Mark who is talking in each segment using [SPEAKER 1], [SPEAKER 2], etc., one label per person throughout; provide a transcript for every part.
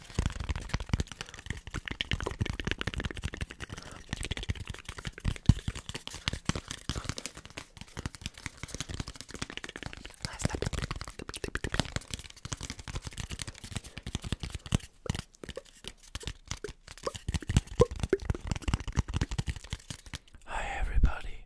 [SPEAKER 1] Last up. Hi, everybody.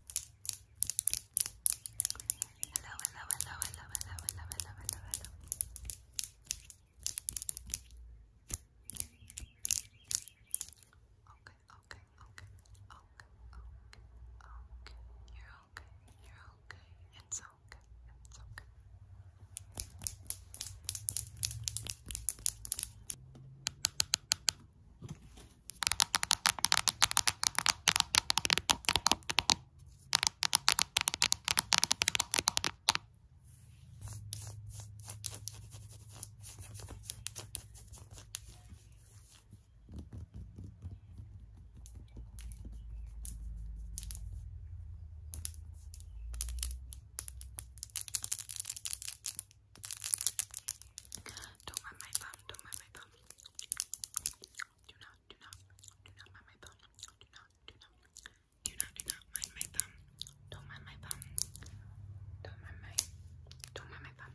[SPEAKER 1] hello, hello, hello, hello, hello, hello, hello, hello, Okay, okay, okay, okay, okay, okay. You're okay, you're okay. It's okay, it's Okay, don't mind my bum, don't mind my bum. Do not, do not, do not mind my thumb. Do not, do not, do not, do not mind my thumb. Don't mind my thumb. Don't mind my, don't mind my thumb.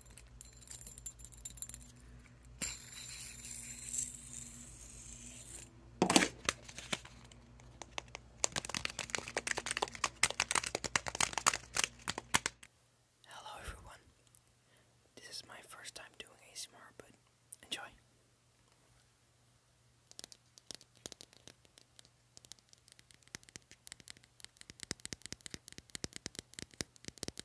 [SPEAKER 1] Hello, everyone. This is my first time doing ASMR, but enjoy.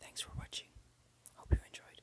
[SPEAKER 2] Thanks for watching. Hope you enjoyed.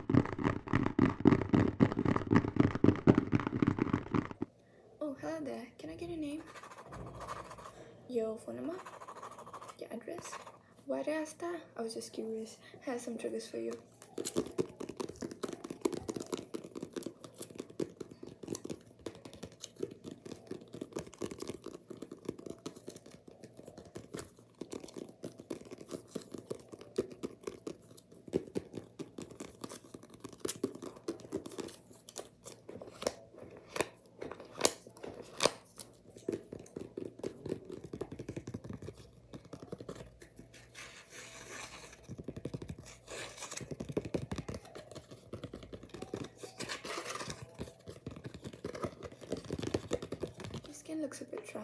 [SPEAKER 3] Oh, hello there. Can I get your name? Your phone number? Your address? Where did I start? I was just
[SPEAKER 4] curious. I have some triggers for you.
[SPEAKER 5] Your skin looks a bit dry.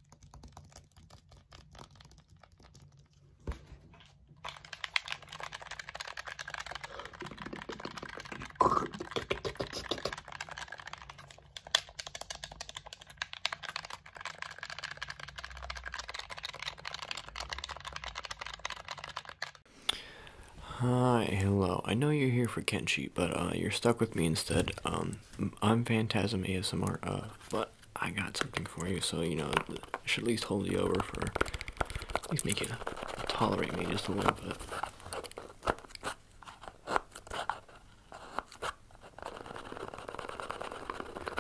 [SPEAKER 4] Hi, hello. I know you're here for Kenshi, but uh, you're stuck with me instead. Um, I'm Phantasm ASMR, uh, but I got something for you, so you know, it should at least hold you over for, at least make you tolerate me just a little bit.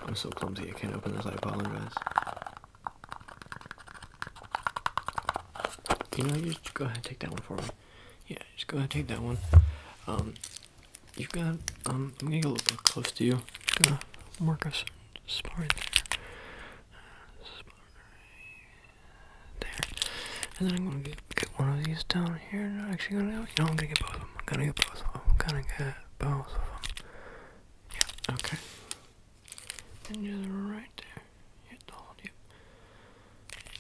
[SPEAKER 4] I'm so clumsy, I can't open this, I apologize. You know, you just go ahead and take that one for me yeah, just go ahead and take that one. Um, you've got, um, I'm gonna get a little bit close to you. gonna mark us spot right there. And then I'm gonna get, one of these down here. actually gonna, get both of them. gonna get both of them. gonna get both of them. Yeah, okay. And just right there. Hit the whole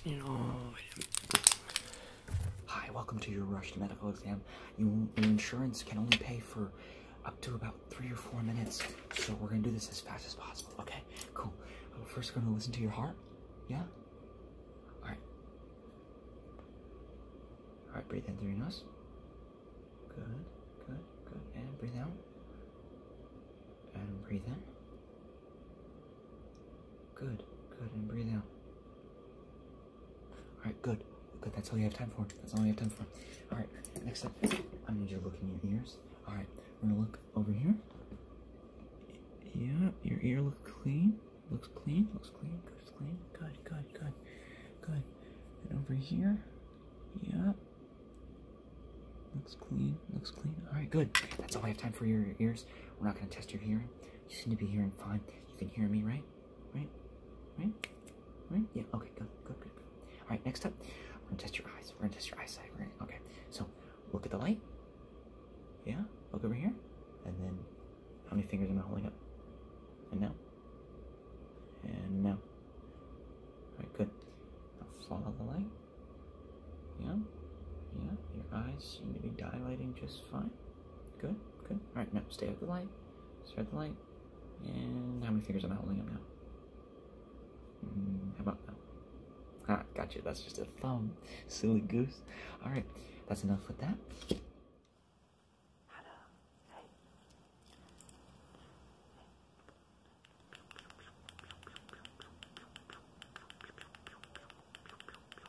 [SPEAKER 3] You know, Hi, welcome to your rushed medical exam. your insurance can only pay for up to about three or four minutes, so we're gonna do this as fast as possible, okay? Cool. First, are going gonna listen to your heart. Yeah? Alright. Alright, breathe in through your nose. Good, good, good. And breathe out. And breathe in. Good, good, and breathe out. Alright, good, good, that's all you have time for. That's all you have time for. Alright, next up, I need you to look in your ears. Alright, we're gonna look over here. Yeah, your ear looks clean. Looks clean, looks clean, looks clean. Good, good, good, good. And over here, yeah. Looks clean, looks clean. Alright, good. That's all we have time for your ears. We're not gonna test your hearing. You seem to be hearing fine. You can hear me, right? Right? Right? Right? Yeah, okay, good, good, good, Alright, next up, we're gonna test your eyes. We're gonna test your eyesight. we okay, so look at the light. Yeah, look over here. And then, how many fingers am I holding up? And now. And now. Alright, good. follow the light. Yeah, yeah, your eyes seem to be dilating just fine. Good, good. All right, no. stay out the light. Stay out the light. And how many fingers am I holding up now? Mm, how about now? Ah, gotcha. That's just a thumb. Silly goose. All right, that's enough with that. Hello.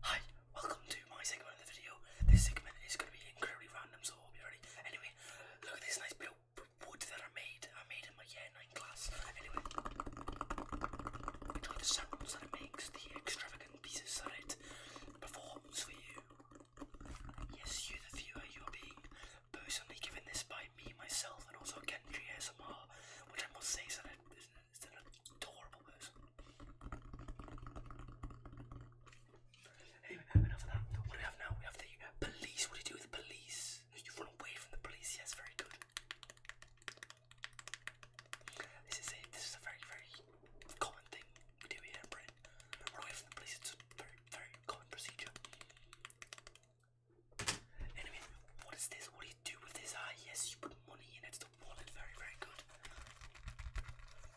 [SPEAKER 1] Hi, welcome to my segment of the video. This segment is going to be incredibly random, so hope you're ready. Anyway, look at this nice bit of wood that I made. I made in my year 9 class. Anyway, enjoy the sounds that it makes, the extravagant pieces that it performs for you. Yes, you, the viewer, you are being personally given this by me, myself, and also Kendry ASMR, which I must say is an, is an adorable person. Anyway, enough of that. What do we have now? We have the police. What do you do with the police? You run away from the police. Yes, very good. This is a very very common thing we do here in Run away from the police. It's a very very common procedure. Anyway, what is this? What do you do with this eye? Ah, yes, you put
[SPEAKER 6] money in it very, very good.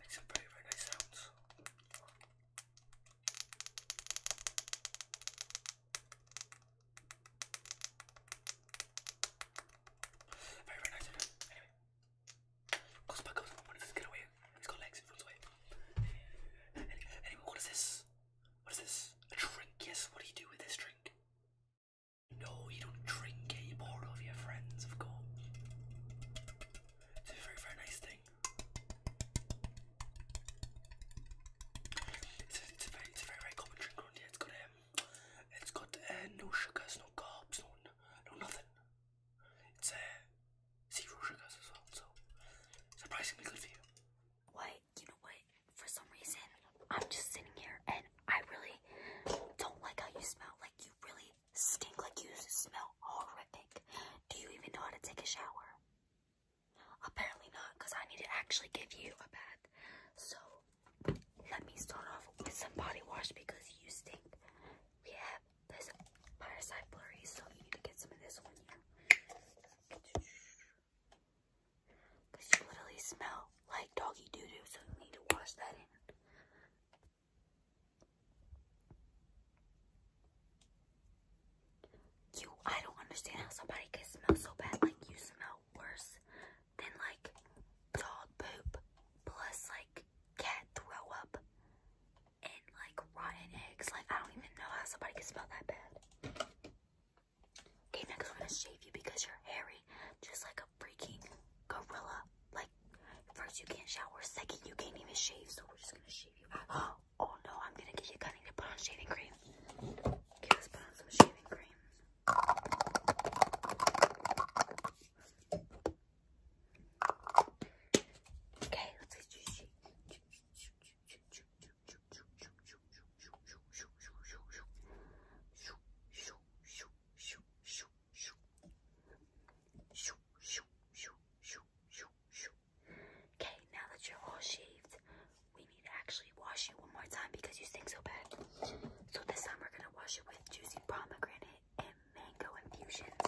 [SPEAKER 6] Makes some very, very nice sounds.
[SPEAKER 1] Very, very nice. Anyway, goes back up. What this get away? It's got legs. It runs away. Anyway, what is this? What is this? A drink? Yes. What do you do with this drink? No, you don't drink it, you pour it over your friends, of course. It's a very, very nice thing.
[SPEAKER 7] It's very, very, common drink around It's got, um, it's got uh,
[SPEAKER 1] no sugars, no carbs, no, no nothing. It's uh, zero sugars as well, so surprisingly good for you. What?
[SPEAKER 7] You know what? For some reason, I'm just sitting here and I really don't like how you smell. Like, you really Stink like you smell horrific. Do you even know how to take a shower? Apparently not, because I need to actually give you a bath. So let me start off with some body wash because you stink. We have this parasite blurry, so you need to get some of this one here. Because you literally smell like doggy doo doo, so you need to wash that in. You, I don't understand how somebody can smell so bad. Like, you smell worse than, like, dog poop plus, like, cat throw up and, like, rotten eggs. Like, I don't even know how somebody can smell that bad. Okay, next I'm gonna shave you because you're hairy, just like a freaking gorilla. Like, first you can't shower, second you can't even shave, so we're just gonna shave you. Out. Oh no, I'm gonna get you cutting to put on shaving cream. Okay, let's put shave
[SPEAKER 1] shoo, shoo, shoo, shoo, shoo, shoo, shoo,
[SPEAKER 7] shoo, shoo. Okay, now that you're all shaved, we need to actually wash you one more time because you stink so bad. So this time we're gonna wash it with juicy pomegranate and mango infusions.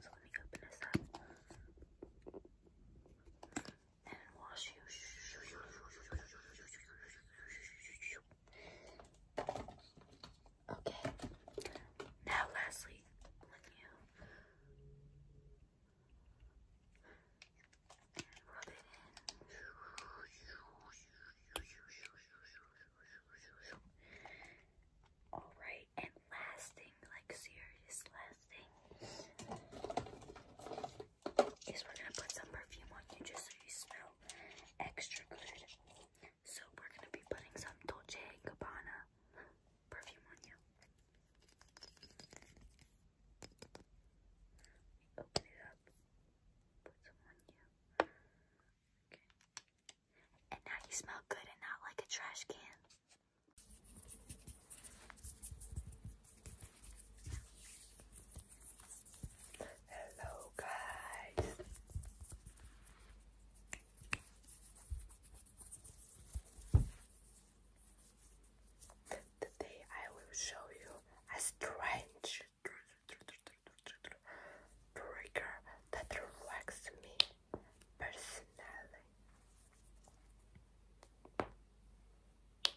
[SPEAKER 7] So let me open this up and wash you. Okay. Now, lastly, All right, and last thing, like serious last thing is we're gonna put some perfume on you just so you smell extra good. So we're gonna be putting some Dolce & Gabbana perfume on you. Open it up, put some on you. Okay. And now you smell good and not like a trash can.
[SPEAKER 1] Hello, guys. Today I will show you a strange trigger that relaxes me personally.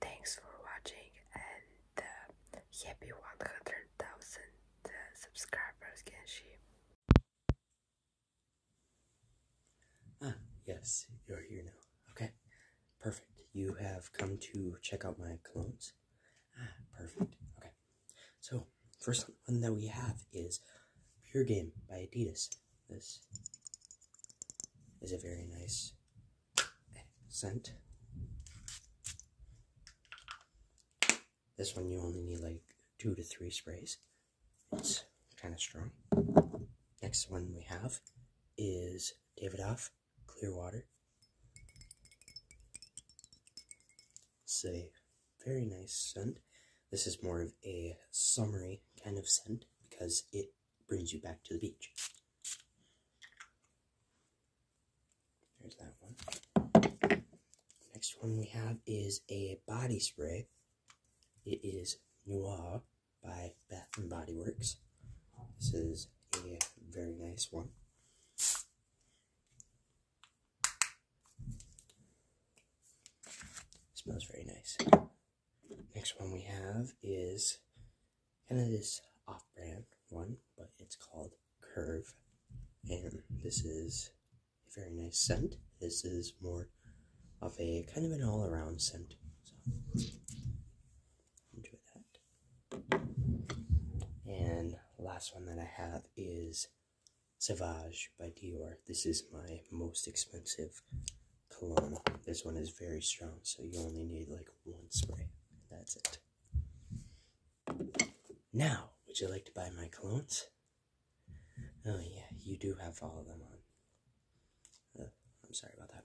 [SPEAKER 1] Thanks for watching and happy uh, 100,000
[SPEAKER 2] uh, subscribers, can she? Ah, yes, you're here now. Okay, perfect. You have come to check out my colognes. Ah, perfect. Okay, so first one that we have is Pure Game by Adidas. This is a very nice scent. This one you only need like two to three sprays. It's kind of strong. Next one we have is Davidoff Clear Water. It's a very nice scent. This is more of a summery kind of scent because it brings you back to the beach. There's that one. Next one we have is a body spray. It is Noir by Bath and Body Works. This is a very nice one. smells very nice. Next one we have is kind of this off brand one, but it's called Curve. And this is a very nice scent. This is more of a kind of an all around scent. So enjoy that. And last one that I have is Savage by Dior. This is my most expensive cologne. This one is very strong, so you only need like one spray. And that's it. Now, would you like to buy my colognes? Oh yeah, you do have all of them on. Uh, I'm sorry about that.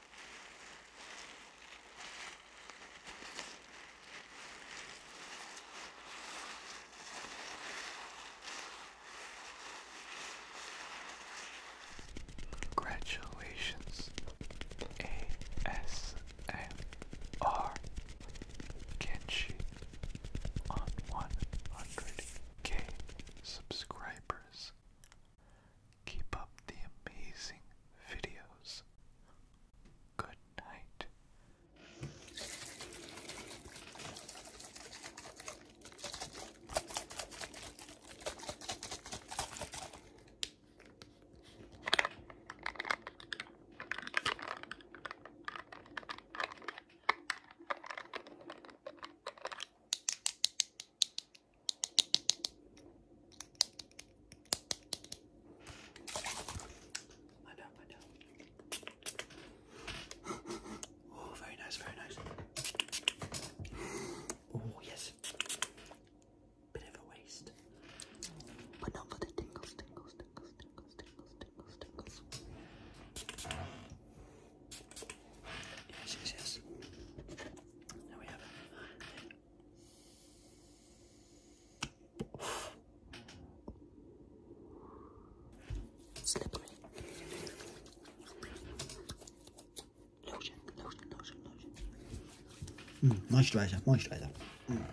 [SPEAKER 1] Congratulations, ASMR Kenshi 100k subscribers. Keep up the amazing videos. Good night. Madam, madam.
[SPEAKER 2] Oh, very nice, very nice. Oh, yes. Bit of a waste. But not for the tingles, tingles, tingles, tingles, tingles, tingles, tingles. Yes, yes, yes. Now we have it. slippery. Lotion, lotion, lotion, lotion. Mm, moisturizer, moisturizer. Hmm.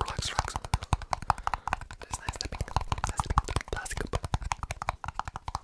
[SPEAKER 2] Relax, relax. There's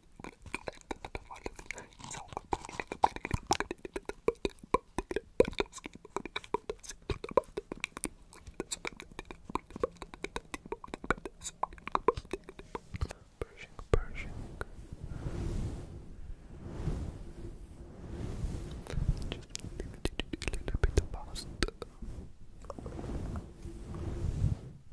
[SPEAKER 2] Pershing, Pershing. Just a little bit of past. Just a little bit of past.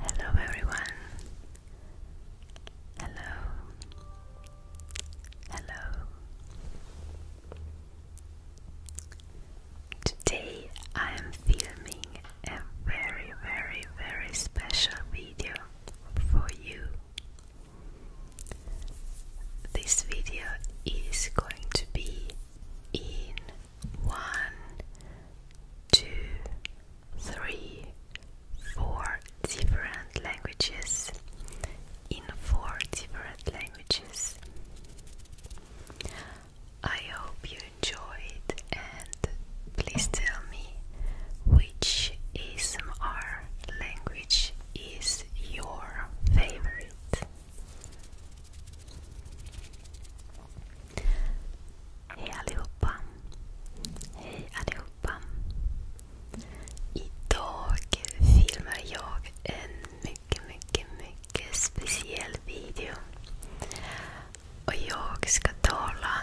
[SPEAKER 5] Hello, everyone. Hello. Hello. Today I am filming a very, very, very special video for you. This video is going to be in one, two, three, four different languages. In four different languages. I hope you enjoyed and please tell me. Which which ASMR language is your favorite? Hej allihopa! Hej allihopa! Idag filmar jag en mycket, mycket, mycket speciell video. Och jag ska tala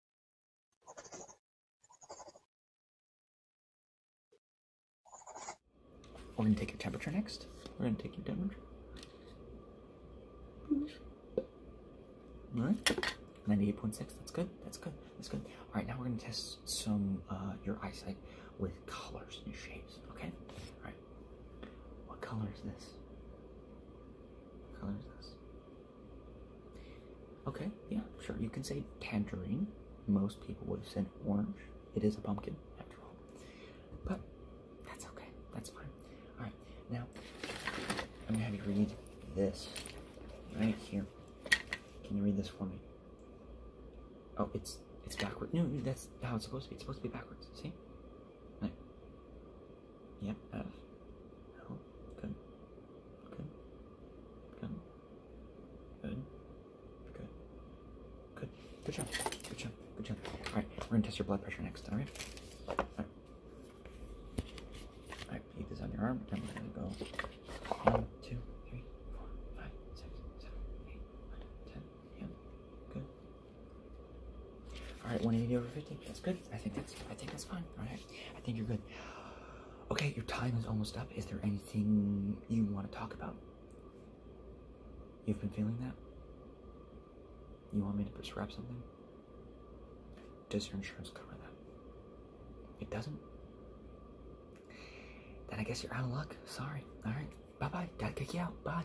[SPEAKER 3] We're going to take your temperature next. We're going to take your temperature. All right. 98.6, that's good, that's good, that's good. All right, now we're gonna test some, uh, your eyesight with colors and shapes, okay? All right, what color is this? What color is this? Okay, yeah, sure. You can say tangerine. Most people would have said orange. It is a pumpkin, after all. But that's okay. That's fine. Alright, now I'm gonna have you read this right here. Can you read this for me? Oh, it's it's backwards. No, that's how it's supposed to be. It's supposed to be backwards. See? Right. Yep, yeah, that's good. Good. Good. Good. Good. Good. Good job. Good job. Good job. Alright, we're gonna test your blood pressure next, alright? Alright. Alright, keep this on your arm. go one, two, three, four, five, six, seven, eight, nine, ten. Yeah. Good. Alright, 180 over 50. That's good. I think that's I think that's fine. Alright. I think you're good. Okay, your time is almost up. Is there anything you want to talk about? You've been feeling that? You want me to prescribe something? Does your insurance cover that? It doesn't? Then I guess you're out of luck. Sorry. Alright. Bye bye. Dad kick you out. Bye.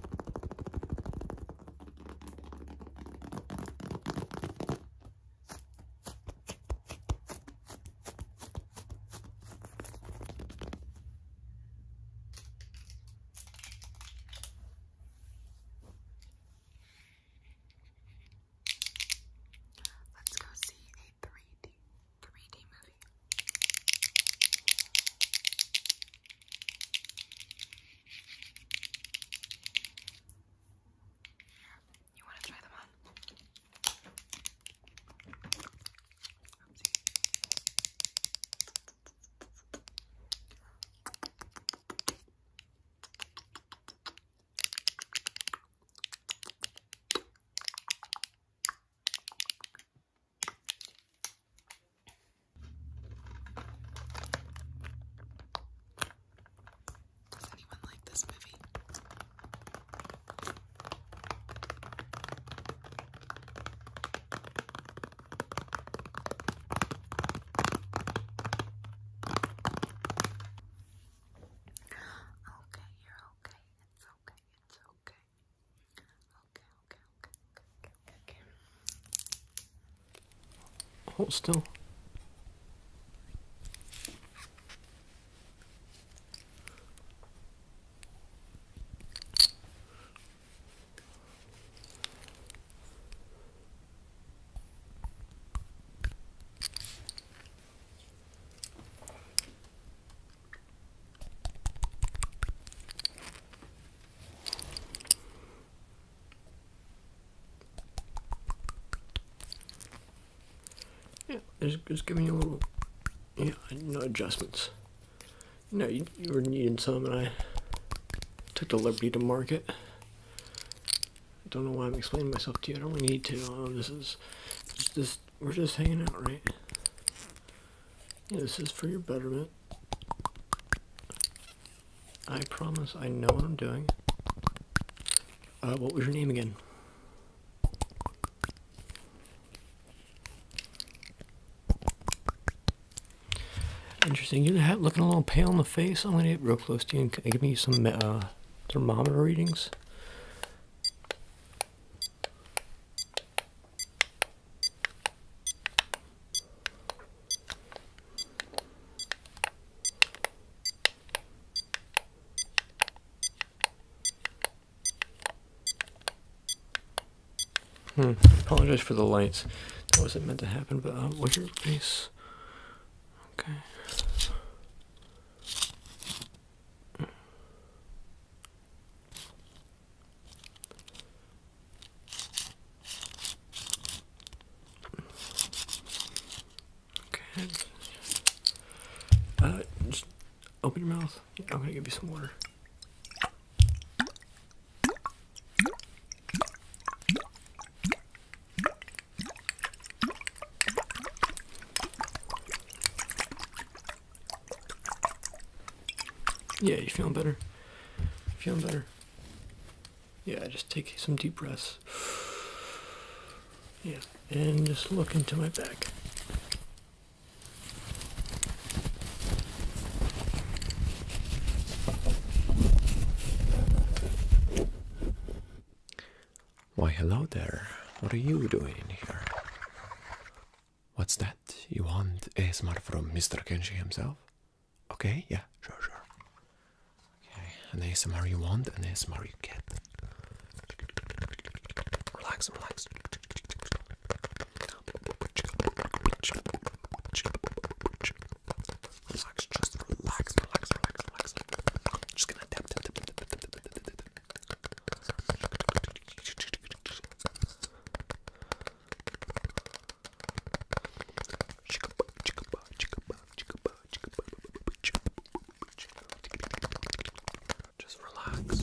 [SPEAKER 3] Let's go see a 3D 3D movie. Harvey.
[SPEAKER 4] You want to try them on? Oopsie. Does anyone like this movie? Okay, you're okay. It's okay. It's okay okay, okay, okay. Hold still. Yeah, just, just giving you a little, yeah, no adjustments. You know, you, you were needing some, and I took the liberty to mark it. I don't know why I'm explaining myself to you. I don't really need to. Oh, this is, this, we're just hanging out, right? this is for your betterment. I promise I know what I'm doing. Uh, what was your name again? Interesting. You're looking a little pale in the face. I'm going to get real close to you and give me some uh, thermometer readings. Hmm, apologize for the lights. That wasn't meant to happen, but uh, what's your face? Okay. Okay. Uh, just open your mouth. I'm gonna give you some water. Yeah, you feeling better? Feeling better? Yeah, just take some deep breaths. Yeah, and just look into my back. Why, hello there. What are you doing in here?
[SPEAKER 6] What's that? You want ASMR from Mr. Kenshi himself? Okay, yeah, sure, sure. Okay, an ASMR you want, an ASMR you
[SPEAKER 5] get.
[SPEAKER 1] Relax, relax. Relax, just relax, relax, relax, relax. I'm just gonna tap, tap, tap, tap, tap, tap, tap, tap, tap. Just relax.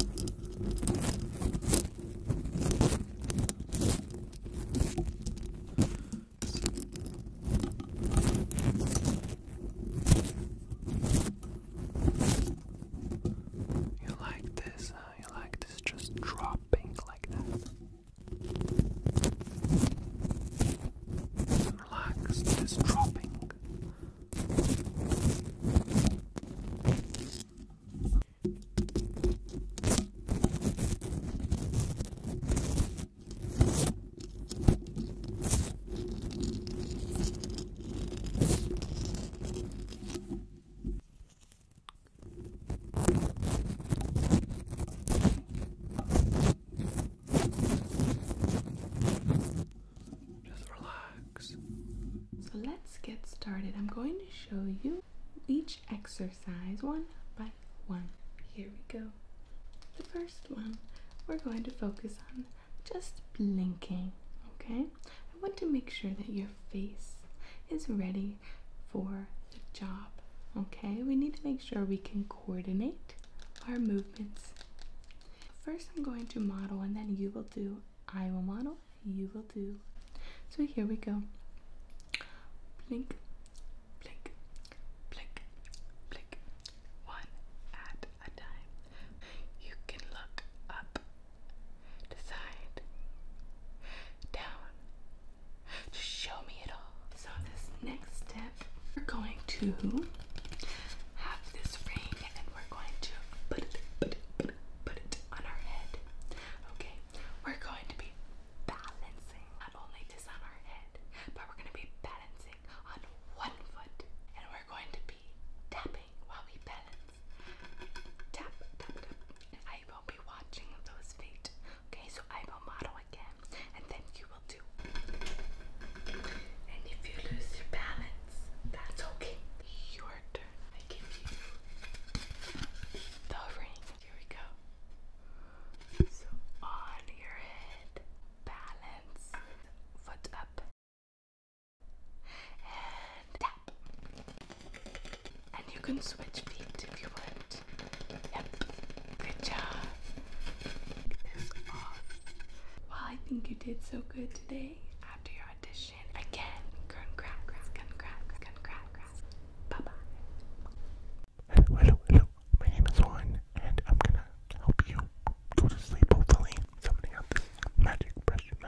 [SPEAKER 1] You like this? Uh, you like this? Just drop not pink like that. Relax, it is dropping.
[SPEAKER 6] Just relax. So let's get started. I'm going to show you each exercise one by one. Here we go. The first one, we're going to focus on just blinking, okay? I want to make sure that your face is ready for the job. Okay, we need to make sure we can coordinate our movements. First, I'm going to model, and then you will do. I will model, you will do. So here we go. Blink, blink, blink, blink. One at a time. You can look up down. Just show me it all. So this next step, we're going to have this ring and we're going to put it, put it, put it, put it on our
[SPEAKER 1] head. Okay, we're going to be balancing not only this on our head, but we're going to be balancing on one foot, and we're going to be tapping while we balance. Tap, I will be watching those feet. Okay, so I will model again, and then you will do. And if you lose your balance, that's okay. Your turn. I give you
[SPEAKER 6] the ring. Here we go. So
[SPEAKER 1] on your head, balance, foot up, and tap. And you can switch
[SPEAKER 6] feet if you want. Yep. Good job. Well, I think you did so good today after your audition. Again, congrats, congrats, congrats. Bye-bye. Hello, hello, hello. My name is Juan, and I'm gonna help you go to sleep, hopefully. So I'm magic breath. This is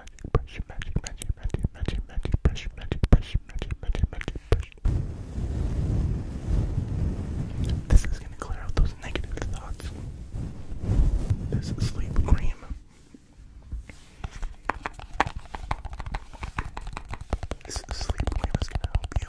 [SPEAKER 4] gonna clear out those negative thoughts. This is sleep cream. This sleep cream is gonna help you.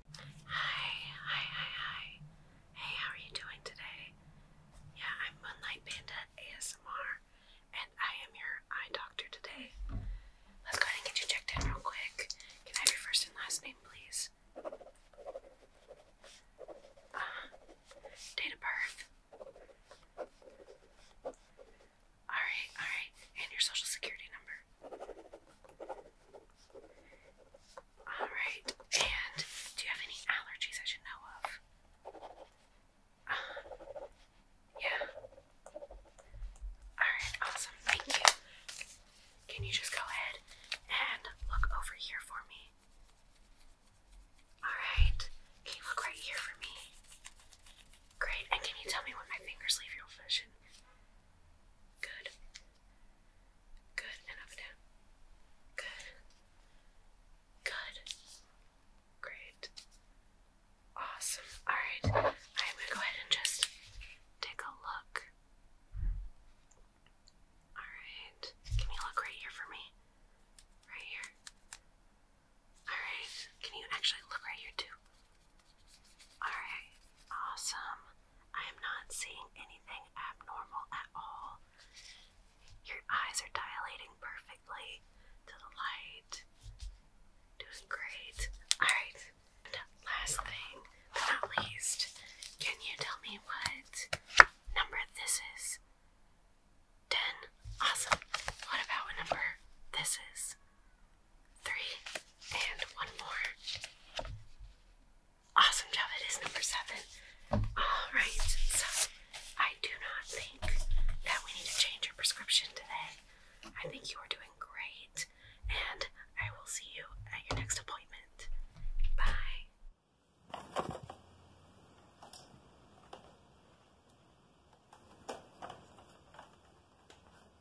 [SPEAKER 1] Hi, hi, hi, hi. Hey, how are you doing today? Yeah, I'm Moonlight Panda ASMR, and I am your eye doctor today. Let's go ahead and get you checked in real quick. Can I have your first and last name, please? Uh, date of birth. Alright, alright. And your social security number. Alright, and do you have any allergies I should know of? Uh, yeah. Alright, awesome. Thank you. Can you just go ahead and look over here for me? Alright, can look right here for me? Great, and can you tell me when my fingers leave your vision? Good. Good, and up and down. Good. Good. Great. Awesome. Alright. I'm gonna go ahead and just take a look. Alright. Can you look right here for me? Right here. Alright. Can you actually look right here too? Alright, awesome. I am not seeing anything abnormal at all. Your eyes are dilating perfectly to the light. Doing great. Alright, last thing but not least, can you tell me what number this is? 10. Awesome. What about what number this is? Three and one more. Awesome job. It is number seven. All right. So I do not think that we need to change your prescription today. I think you are doing great, and I will see you at your next appointment. Bye.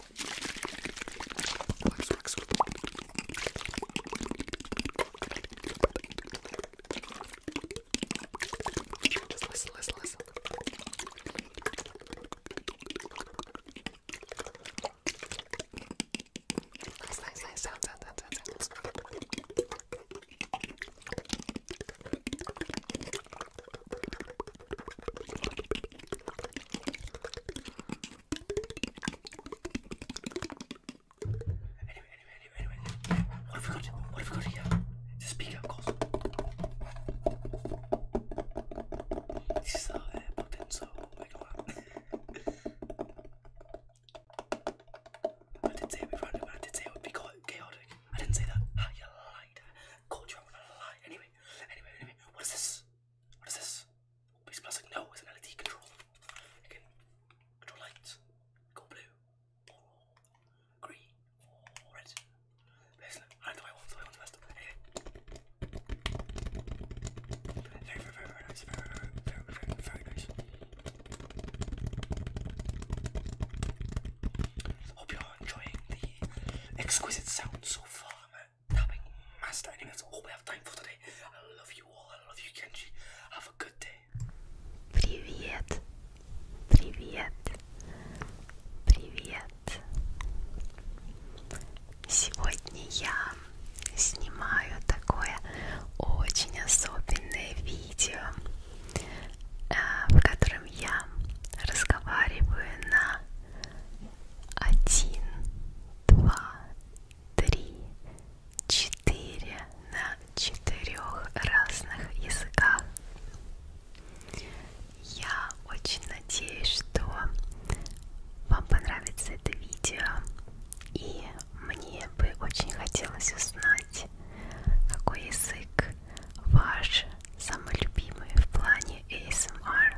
[SPEAKER 1] Just listen, listen, listen. Nice, nice, nice sound, sound, sound, sound, sound. Anyway, anyway, anyway, anyway. What have we got? What have we got here? It's a speaker, of course. This is the uh, button, so ignore that. I did say it would be random, I did say it would be chaotic. I didn't say that. Ah, you lied. I called you out with a lie. Anyway, anyway, anyway. What is this? What is this? But it's no, it's an LED controller. You control lights, go blue, green, red. Basically, I don't know what I want, so I want Very, very, very, nice. Very, very, very, very, nice. Hope you're enjoying the exquisite sound so far, man. tapping master. Anyway, that's all we have time for today. I love you all. I love
[SPEAKER 5] you, Kenji. Have a good day. Привет. Привет. Привет. Сегодня я снимаю такое очень особенное видео, э, в котором я разговариваю на один, два, три, четыре на четырех разных языках. Я очень надеюсь, что вам понравится это видео, и мне бы очень хотелось узнать, какой язык ваш самый любимый в плане ASMR.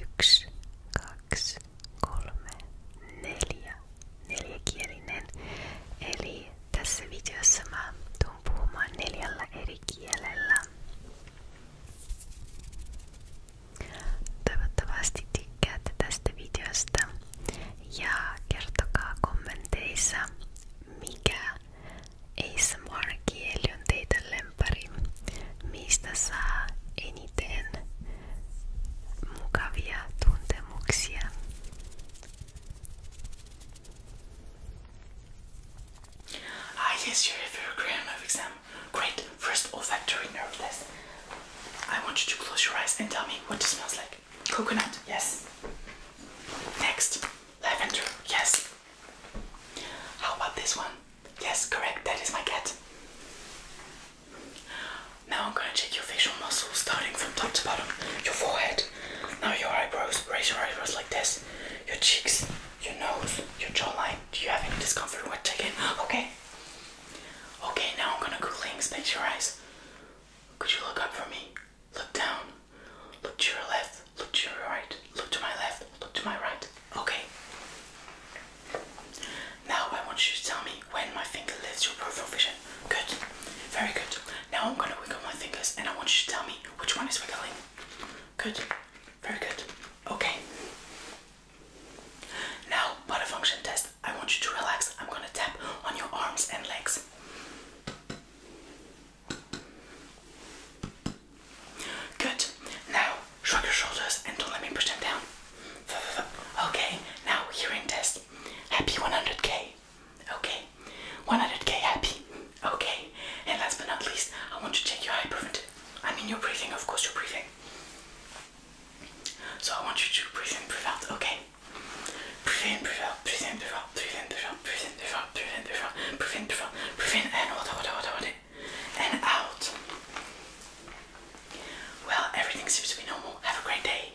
[SPEAKER 5] Yksi, kaksi, kolme, neljä. Neljäkielinen. Eli tässä videossa mä tuun puhumaan neljällä eri kielellä. Toivottavasti tykkäätte tästä videosta ja kertokaa kommenteissa, mikä ASMR-kieli on teille lempari, mistä saa eniten mukavia tuntemuksia. Ah yes, you have your grammar exam.
[SPEAKER 6] Great, first olfactory nerve test. I want you to close your eyes and tell me what it smells like. Coconut, yes. Next, lavender, yes. How about this one? Yes, correct, that is my cat. Now I'm gonna check your facial muscles starting from top to bottom. Your forehead, now your eyebrows, raise your eyebrows like this. Your cheeks, your nose, your jawline. Do you have any discomfort with checking? Okay. Okay, now I'm gonna coolly inspect your eyes. Could you look up for me? Look down. Look to your left. Look to your right look to my left, look to my right. Okay. Now I want you to tell me when my finger lifts your peripheral vision. Good. Very good. Now I'm gonna wiggle my fingers and I want you to tell me which one is wiggling. Good. Very good. Okay. Now, body function test. I want you to relax. I'm gonna tap on your arms and legs.
[SPEAKER 1] Good. Now shrug your
[SPEAKER 6] shoulders and don't let me push them down. Okay. Now hearing test. Happy 100k. Okay. 100k happy. Okay. And last but not least, I want to check your hyperventilation. I mean your breathing. Of course, your breathing. So I want you to breathe in, breathe out. Okay. Breathe in, breathe out. Breathe in, breathe out. Breathe in, breathe out. Breathe in, breathe out. Breathe in, breathe out. Breathe in, breathe out. Breathe in and hold it, hold it, hold it, hold it
[SPEAKER 1] and out. Well, everything seems to be normal. Have a great day.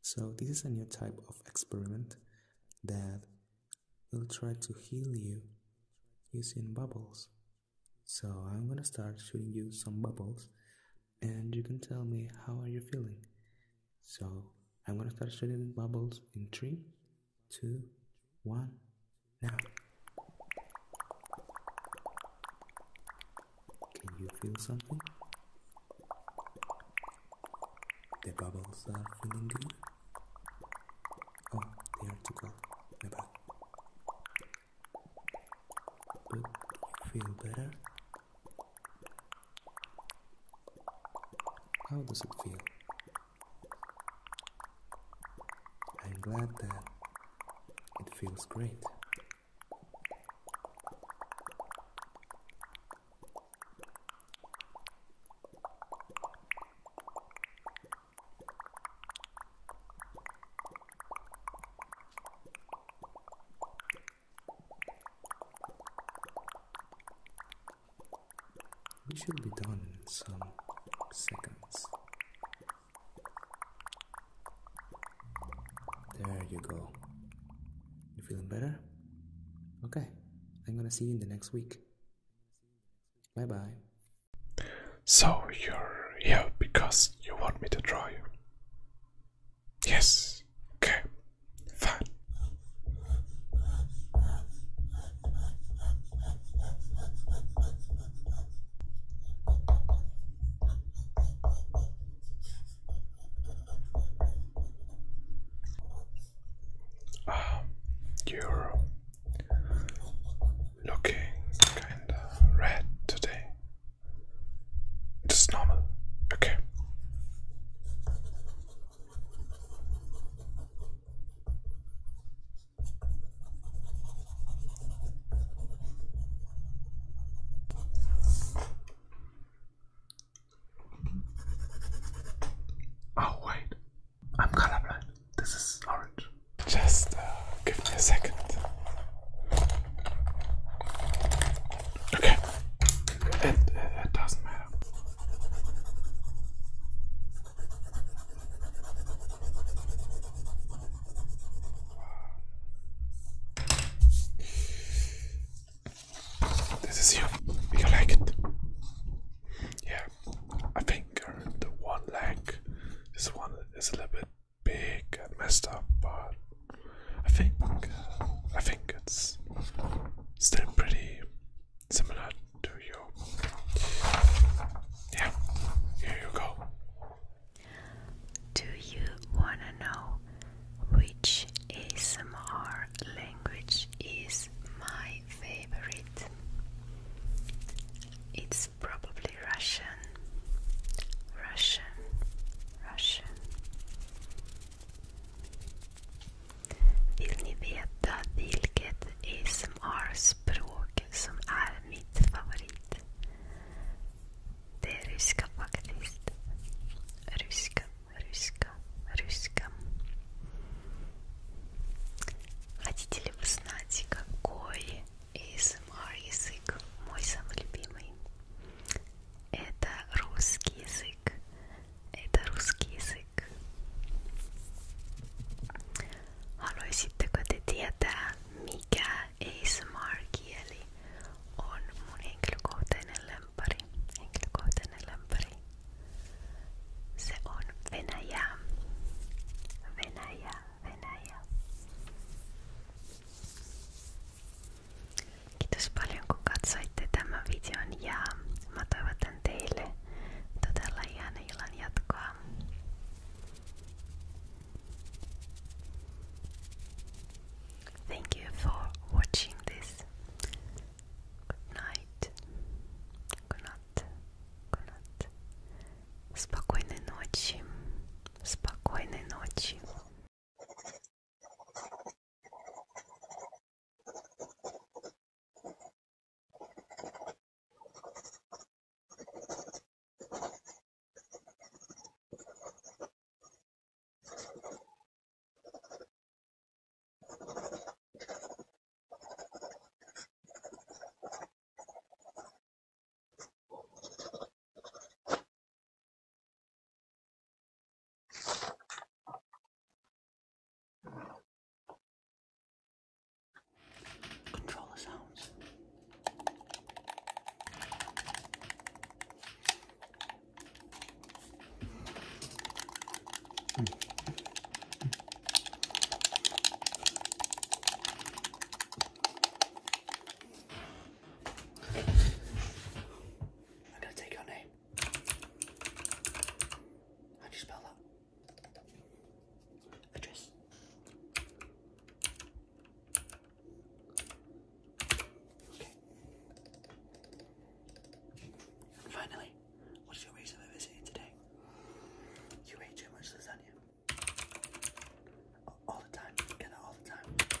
[SPEAKER 2] So this is a new type of experiment that will try to heal you using bubbles. So I'm gonna start shooting you some bubbles and you can tell me how are you feeling. So I'm gonna start shooting bubbles in three, two, one, now. Can you feel something? The bubbles are feeling good? Oh, they are too cold. My bad. you feel better? How does it feel? I'm glad that it feels great.
[SPEAKER 1] We should be done
[SPEAKER 2] in some seconds. There you go. You feeling better? Okay. I'm gonna see you in the next week. Bye bye.
[SPEAKER 1] So you're here because you want me to draw you? Yes. Okay. Fine. you're looking kinda red today. It's normal, okay. Oh, wait, I'm colorblind. This is orange. Just uh, give me a second. Okay, it, it doesn't matter. This is you. You like it? Yeah. I think uh, the one leg, this one is a little bit big and messed up, but I think uh,
[SPEAKER 5] I think it's still pretty similar to you. Yeah. Here you go. Do you wanna know which ASMR language is my favorite? It's probably Russian. Russian. Russian. Vill ni veta vilket ASMR-språk som är mitt favorit? Ты рыска активист. Рыска, рыска, рыска. Хотите ли вы знать, какой ASMR язык мой самый любимый? Это русский язык. Это русский язык. Haluaisitteko te tietää, mikä ASMR-kieli on mun henkilökohtainen lempari. Henkilökohtainen lempari. Se on Venäjä. Venäjä, Venäjä. Kiitos paljon kun katsoitte tämän videon ja mä toivotan teille todella ihana illan jatkoa. Thank you for watching this. night. Good night. Good night. Спокойной ночи. Спокойной ночи. Control the sounds. I'm going to take your name. How do you spell that? Address finally, what is your reason for visiting today? You ate too much lasagna. All the time, you all the time.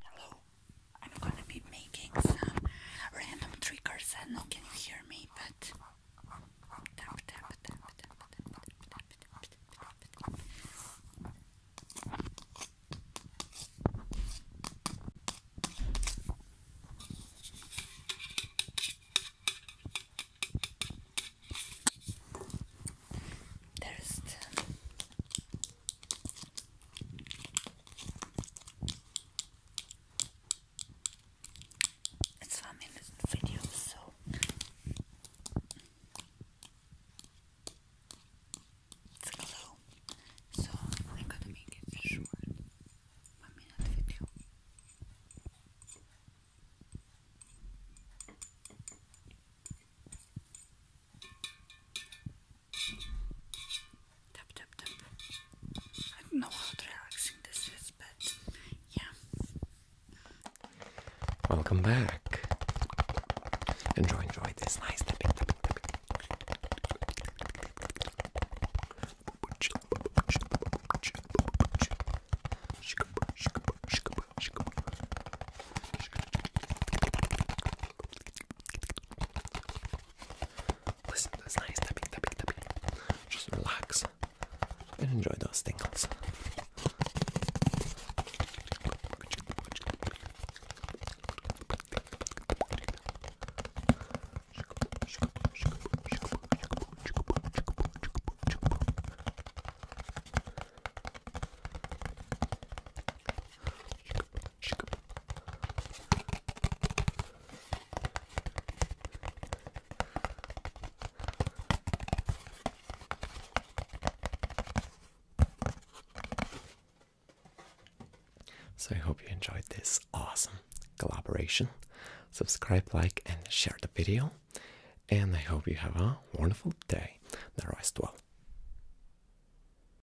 [SPEAKER 6] Hello, I'm gonna be making some random triggers. I know can you hear me, but tap tap tap tap tap tap tap tap tap. There's the
[SPEAKER 7] it's one minute video, so. It's glow, so I'm to make it short. One minute video. I don't know
[SPEAKER 4] how relaxing this is, but yeah.
[SPEAKER 7] Welcome
[SPEAKER 6] back. Enjoy, enjoy this nice tapping, tapping.
[SPEAKER 1] Listen to this nice tapping, tapping, tapping. Just relax and enjoy those tingles.
[SPEAKER 4] So I hope you enjoyed this awesome collaboration.
[SPEAKER 2] Subscribe, like, and share the video. And I hope you have a wonderful day. The rest well.